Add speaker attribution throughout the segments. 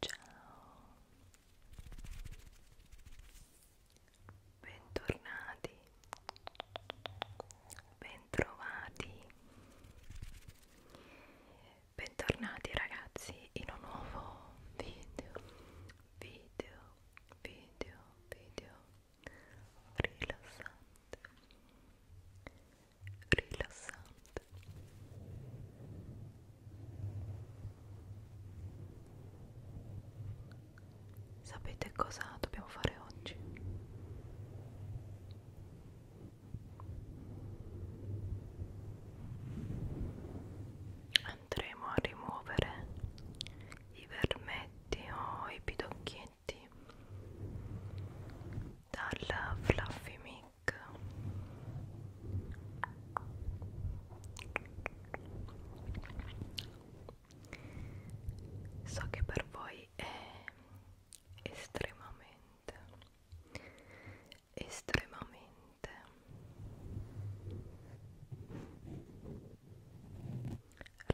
Speaker 1: Ciao, bentornati, bentrovati, bentornati ragazzi in un nuovo video, video, video video rilassante
Speaker 2: rilassante sapete cosa dobbiamo fare oggi andremo a rimuovere i vermetti o i pidocchietti dal Fluffy Mic so che per voi è estremamente estremamente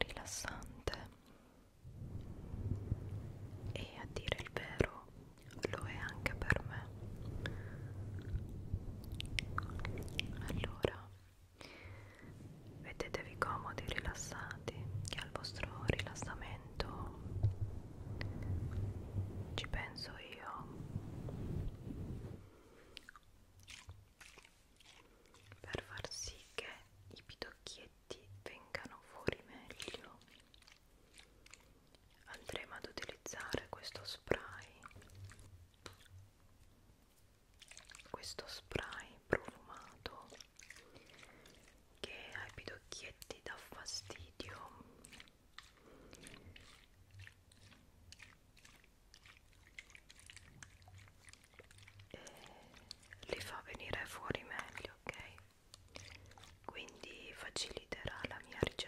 Speaker 2: rilassante e a dire il vero lo è anche per me allora vedetevi comodi rilassati che al vostro rilassamento ci penso io per far sì che i pidocchietti vengano fuori meglio andremo ad utilizzare questo spray questo spray profumato che ai pidocchietti dà fastidio
Speaker 3: e li fa venire fuori meglio, ok? Quindi faciliterà la mia ricerca.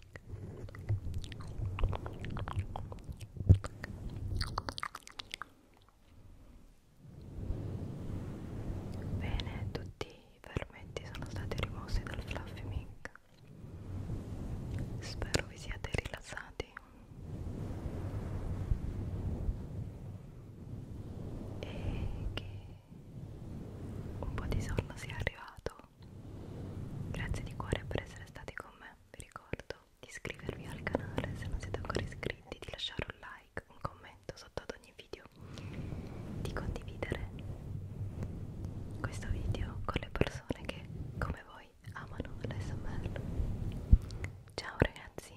Speaker 4: Bene, tutti i fermenti sono stati rimossi dal Fluffy Mink. Spero vi siate rilassati. E che un po' di sonno sia arrivato Grazie di cuore per essere stati con me. Vi ricordo di iscrivervi al canale se non siete ancora iscritti, di lasciare un like, un commento sotto ad ogni video, di condividere questo video con le persone che, come voi, amano l'SMR. Ciao ragazzi,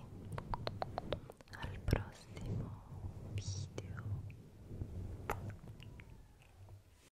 Speaker 4: al prossimo video.